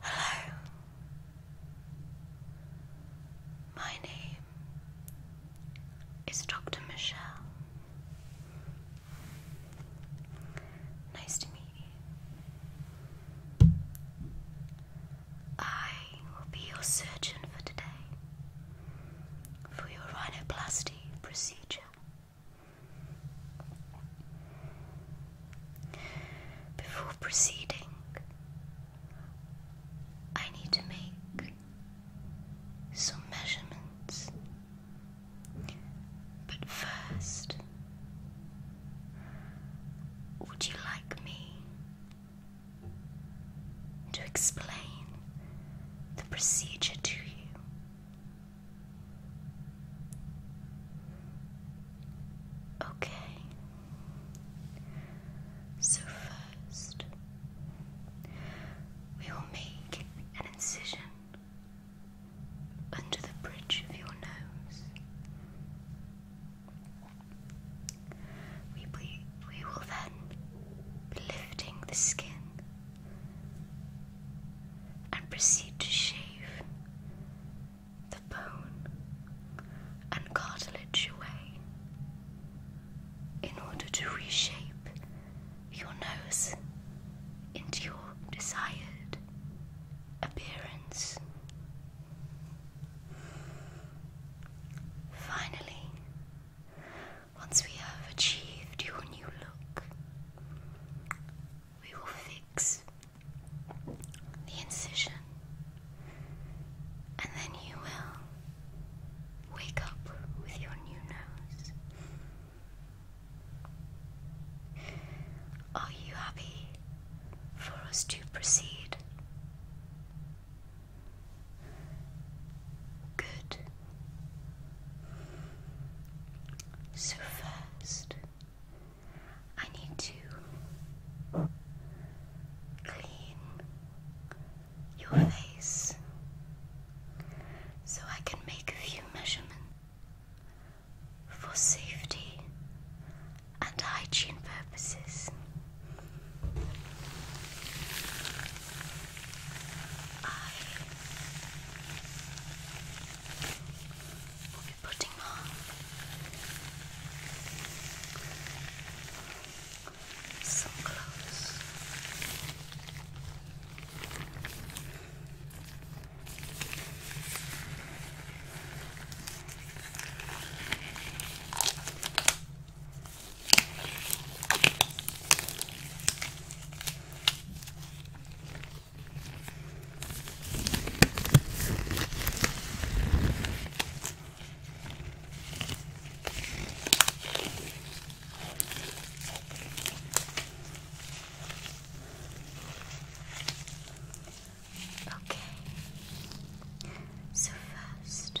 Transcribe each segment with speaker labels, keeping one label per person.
Speaker 1: Hello. My name is Dr. Michelle. Nice to meet you. I will be your surgeon for today for your rhinoplasty procedure. Before proceeding, I need to make some measurements, but first, would you like me to explain the procedure to you? Okay. So first, we will make an incision under the bridge of your nose. We, will then be lifting the skin and proceed to shave the bone and cartilage away in order to reshape your nose into your desired appearance. Finally, once we have achieved your new look, we will fix the incision, and then you will wake up with your new nose. Are you happy for us to proceed? Good. So, first, I need to clean your face so I can make a few measurements for safety and hygiene purposes. I will be putting on some clothes. Okay. So first,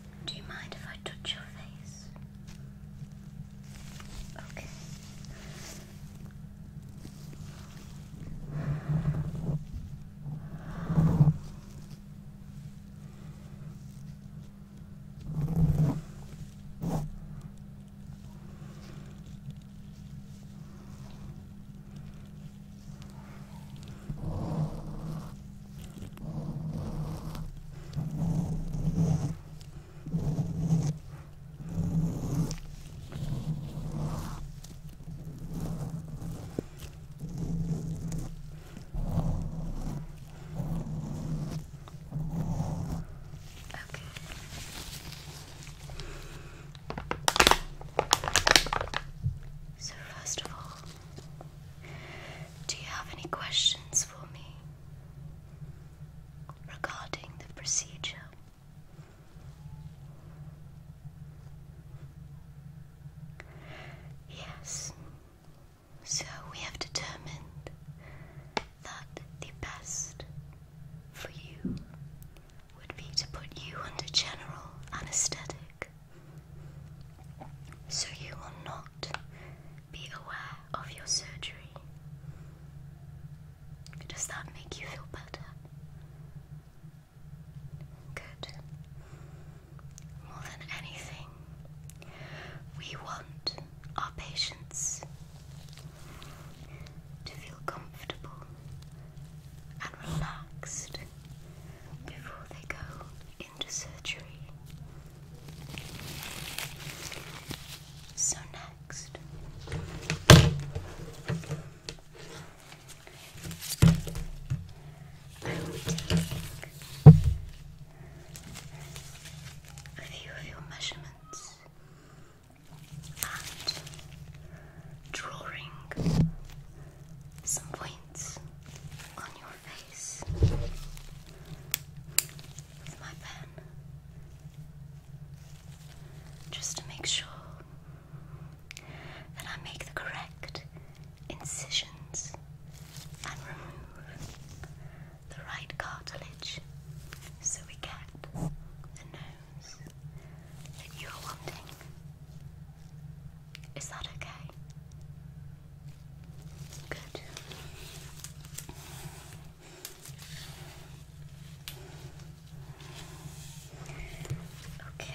Speaker 1: Do you mind if I touch your face? Okay. So, first of all, do you have any questions for me regarding the procedure? Yes. So we have determined that the best for you would be to put you under general anesthetic so you will not be aware of your surgery. Does that make you feel better? Good. More than anything, we want our patients to feel comfortable and relaxed before they go into surgery. So, next, I will be a few of your measurements and drawing some points on your face just to make sure that I make the correct incisions and remove the right cartilage so we get the nose that you're wanting. Is that okay? Good. Okay.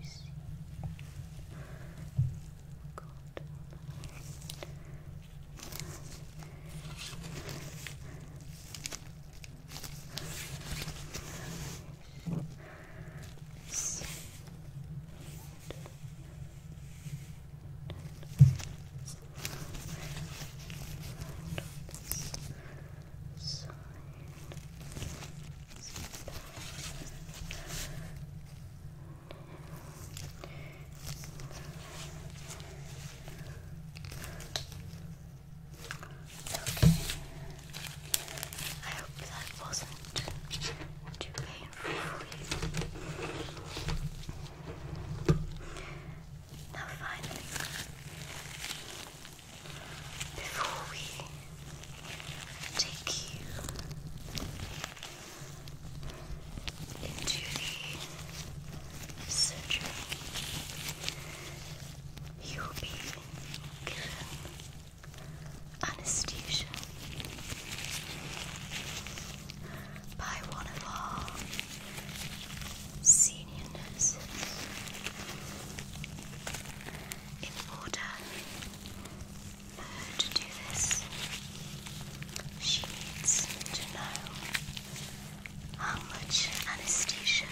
Speaker 1: You see, God, so, so, side I hope that wasn't too painful for you. Now, finally, before we take you into the surgery, you will be given anesthesia by one of our senior nurses in order for her to do this. She needs to know how much anesthesia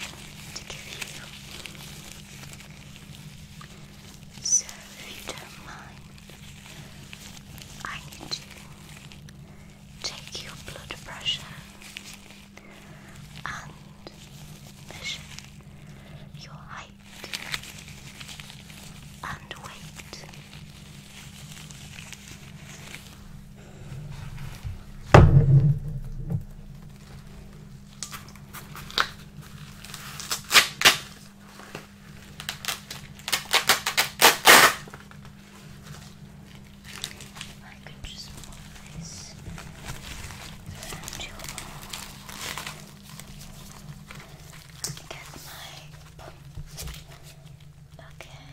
Speaker 1: to give you. So, if you don't mind, I need to take your blood pressure and measure your height and weight. I could just move this to get my pump. Okay.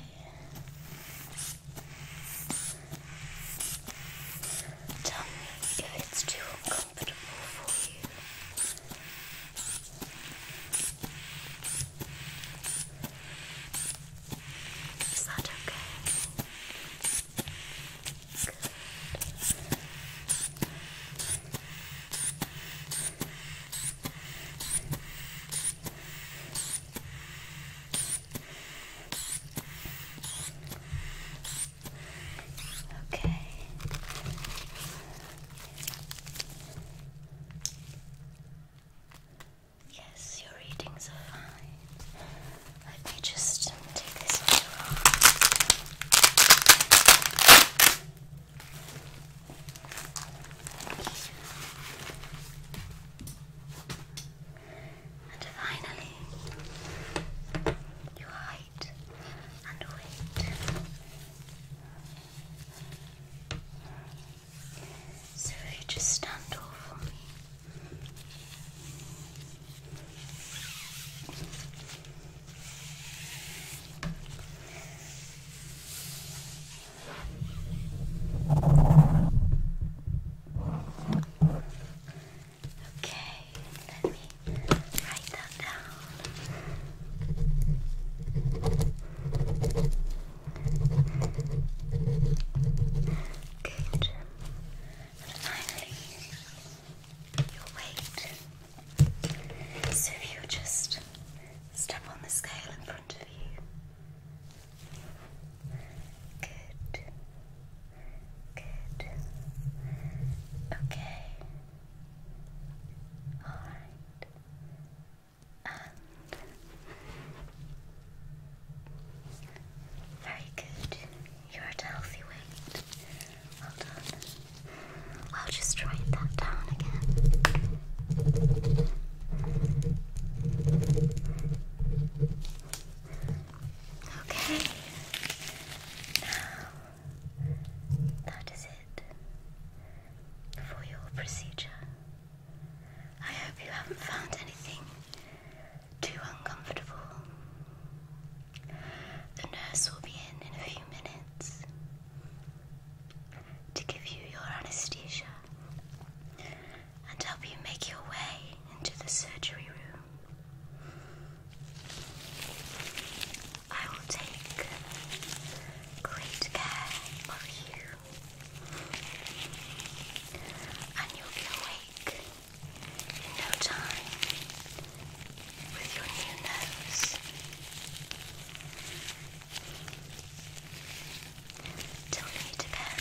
Speaker 1: Tell me if it's too uncomfortable for you. Is that okay? Good. Okay. Yes, your readings are fine. Let me just take this off. And finally, your height and weight. So you just stand off for me. Okay, let me write that that Good. finally, your weight. So you just step on the scale in front of you. Good. Good. Okay. All right. Um, very good. You're at a healthy weight. Well done. I'll just write that down again. Okay. Now that is it for your procedure. I hope you haven't found anything too uncomfortable. The nurse will be in in a few minutes to give you your anesthesia and help you make your way into the surgery room. I will take great care of you. And you'll be awake in no time with your new nose. Till meet again.